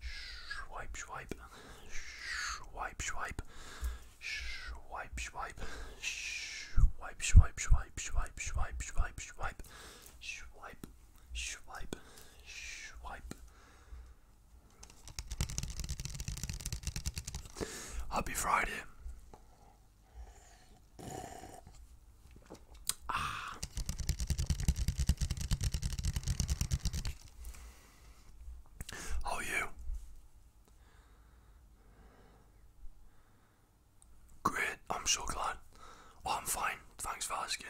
Swipe, swipe. Swipe, swipe. Swipe, swipe. Swipe, swipe, swipe, swipe, swipe, swipe, swipe. Swipe, swipe, swipe. Happy Friday. Ah. How you? Great, I'm so glad. Oh, I'm fine, thanks for asking.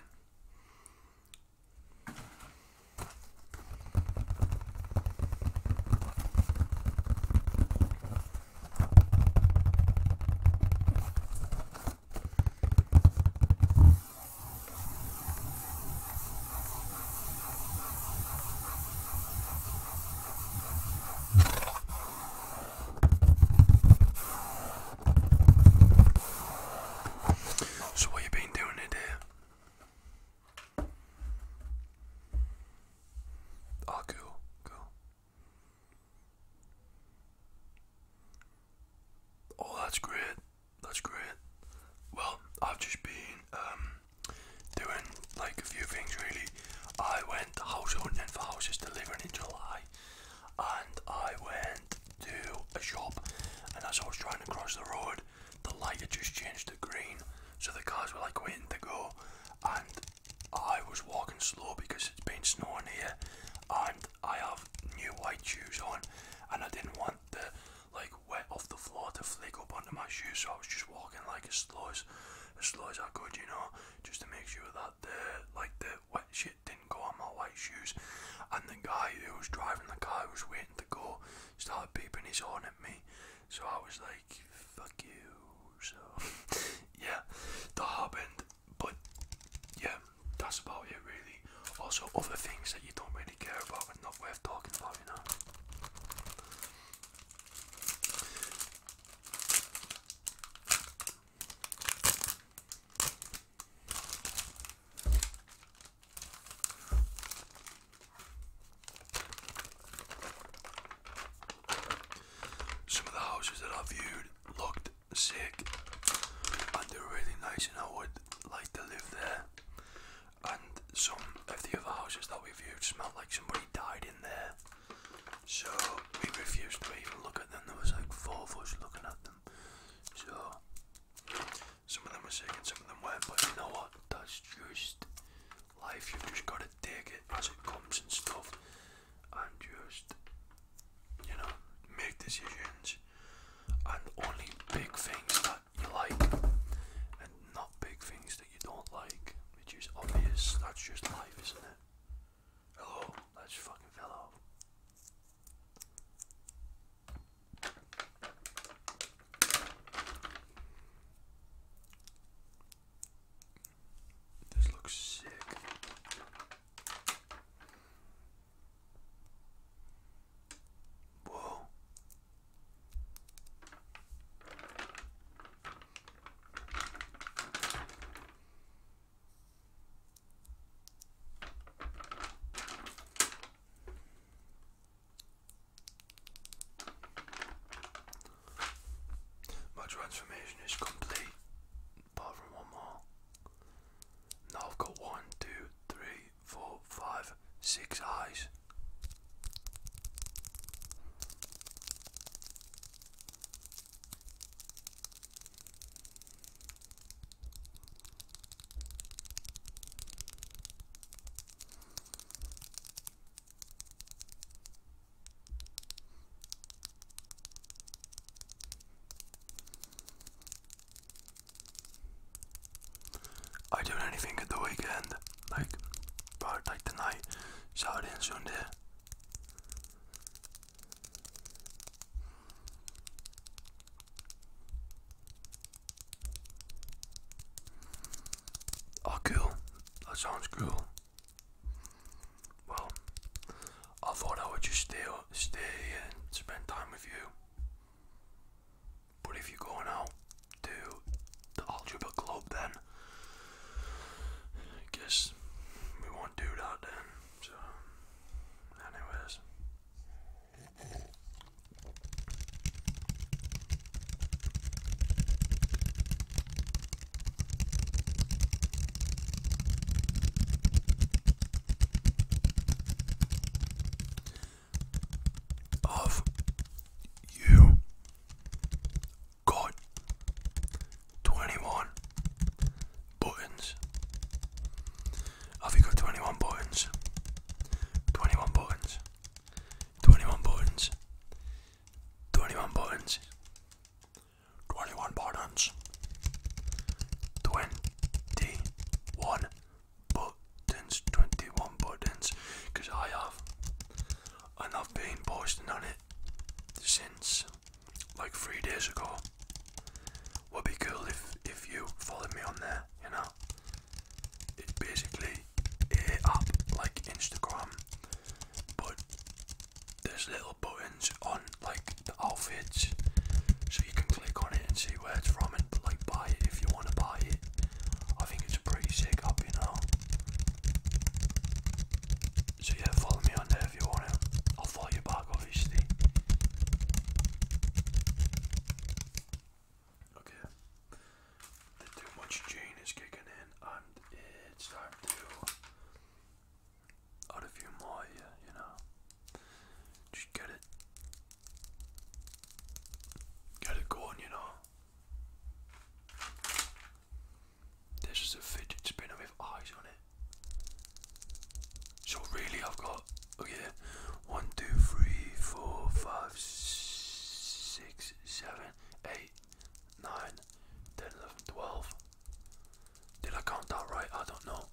So what you been doing today? Oh cool, cool. Oh that's great. That's great. Well, I've just been um, doing like a few things really. I went house hunting for houses to live in in July, and I went to a shop. And as I was trying to cross the road, the light had just changed to green, so the cars were like waiting to go. And I was walking slow because it's been snowing here, and I have new white shoes on, and I didn't want the like wet off the floor to flick up onto my shoes. So I was just walking like as slow as, as slow as I could, you know, just to make sure that the like the wet shit didn't go on my white shoes. And the guy who was driving the car, who was waiting to go, started beeping his horn at me. So I was like, "Fuck you." So yeah, that happened. But yeah, that's about it really. Also, other things that you don't really care about and not worth talking about, you know. Some of the houses that I viewed looked sick and they're really nice, and I would like to live there and some of the other houses that we viewed smelled like somebody died in there. So we refused to even look at them. There was like four of us looking at them. So some of them were sick and some of them weren't. But you know what? That's just life. You've just got to take it as it comes and stuff, and just you know make decisions and only big things that you like and not big things that you don't like, which is obvious. That's just life, isn't it? Hello, that's fucking fell This looks sick. Whoa. My transformation is complete, apart one more. Now I've got one, two, three, four, five, six eyes. I do anything at the weekend, like part like tonight, Saturday and Sunday. Oh cool, that sounds cool. Well, I thought I would just stay, stay and spend time with you. But if you're going out to the algebra club, then guess we won't do that then. So, anyways of you got 21 buttons. Have you got 21 buttons? 21 buttons. 21 buttons. 21 buttons. 21 buttons. 21 buttons, 21 buttons, because I have, and I've been posting on it since like three days ago. Would be cool if, if you followed me on there, you know? It's basically a app like Instagram, but there's little buttons on like the outfits you can click on it and see where it's from and like buy it if you want to buy it. I think it's pretty sick up, you know. So yeah, follow me on there if you want I'll follow you back, obviously. Okay. The too much chain is kicking in, and it's time to add a few more. Yeah, you know. Just get it. Get it going, you know. This is a fidget spinner with eyes on it. So really, I've got okay, oh one, two, three, four, five, six, seven, eight, nine, ten, eleven, twelve. Did I count that right? I don't know.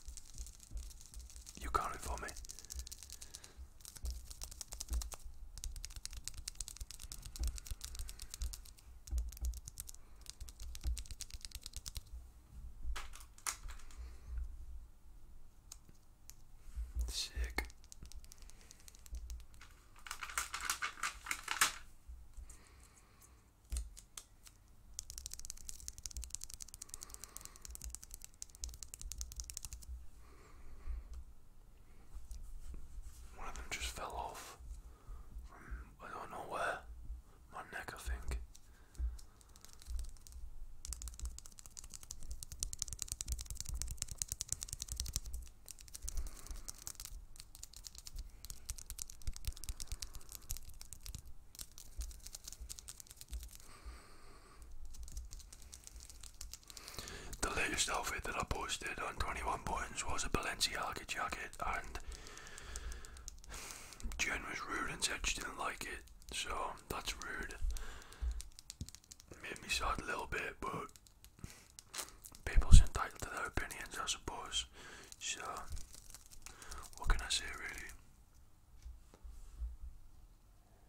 You can't inform me. Sick. One of them just fell off I don't know where. My neck, I think. The latest outfit that I posted on 21 Points was a Balenciaga jacket, and Jen was rude and said she didn't like it, so that's rude. Made me sad a little bit, but people's entitled to their opinions, I suppose. So, what can I say, really?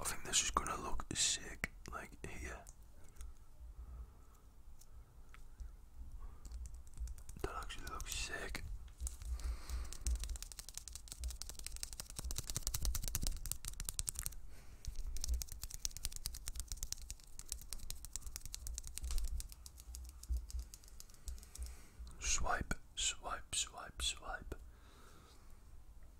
I think this is gonna look sick, like here. That actually looks sick. Swipe, swipe, swipe, swipe.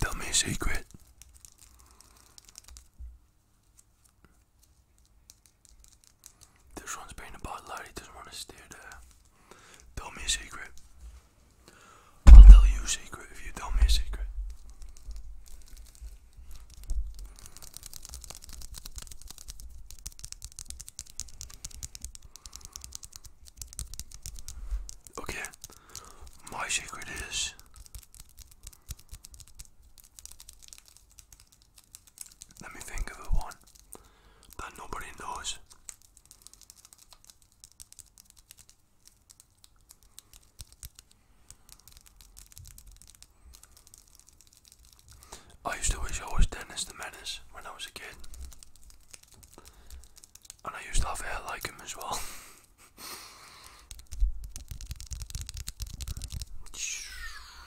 Tell me a secret. This one's been about Larry doesn't want to stay there. Tell me a secret. I'll tell you secret if you tell me a secret. Okay, my secret is let me think of a one that nobody knows. I used to wish I was Dennis the Menace when I was a kid. And I used to have hair like him as well.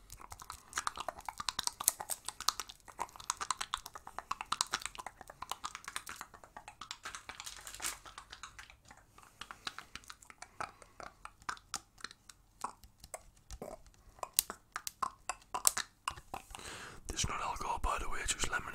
There's not alcohol, by the way, it's just lemonade.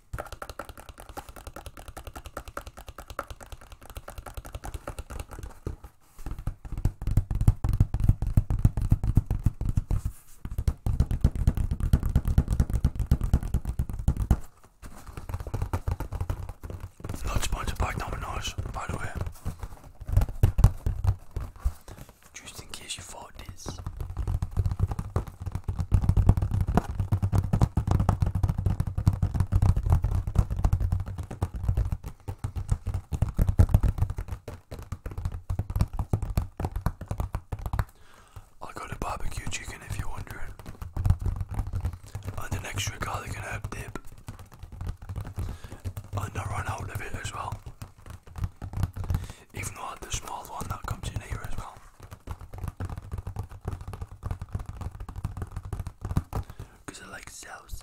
Not sponsored by Domino's, by the way. Just in case you thought this. I got a barbecue chicken if you're wondering, and an extra garlic and herb dip, and I ran out of it as well. Even though the small one that comes in here as well. Because I like sauce.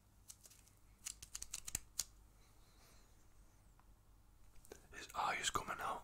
His eye is coming out.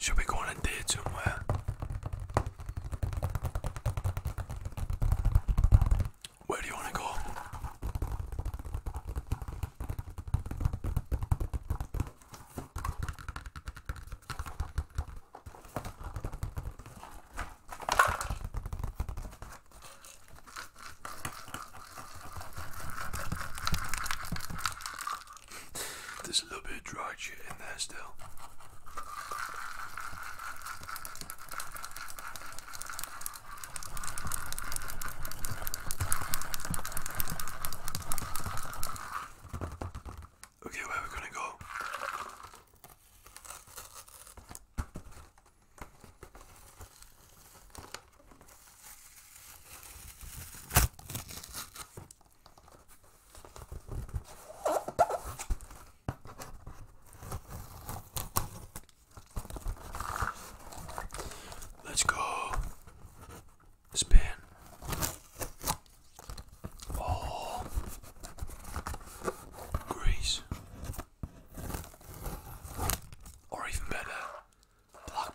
Should we go on a date somewhere? Where do you want to go? this a little bit dry charge you in there still. Okay, where we're we gonna go? Let's go. Spin. All oh. grease. Or even better, black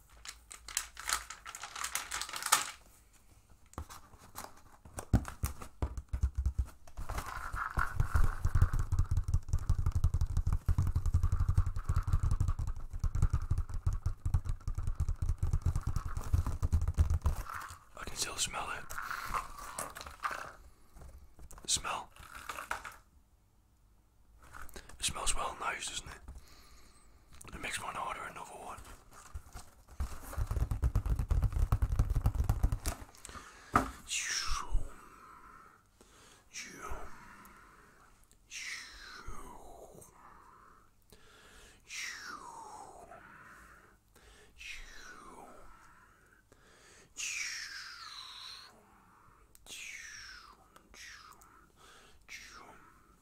I can still smell it. Smell. It smells well nice, doesn't it? It makes me want to order another one.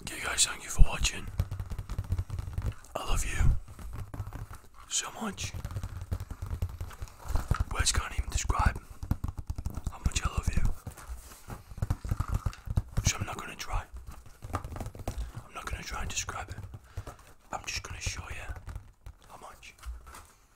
Okay, guys, thank you for watching. I love you so much. Words can't even describe how much I love you. So I'm not gonna try. I'm not gonna try and describe it. I'm just gonna show you how much.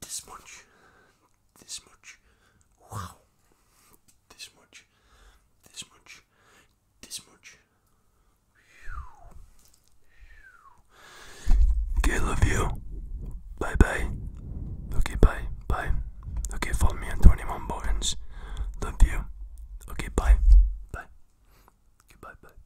This much. This much. Wow. This much. This much. This much. Okay, love you. Bye bye. Okay, bye. Bye. Okay, follow me on 21 buttons. Love you. Okay, bye. Bye. Okay, bye bye.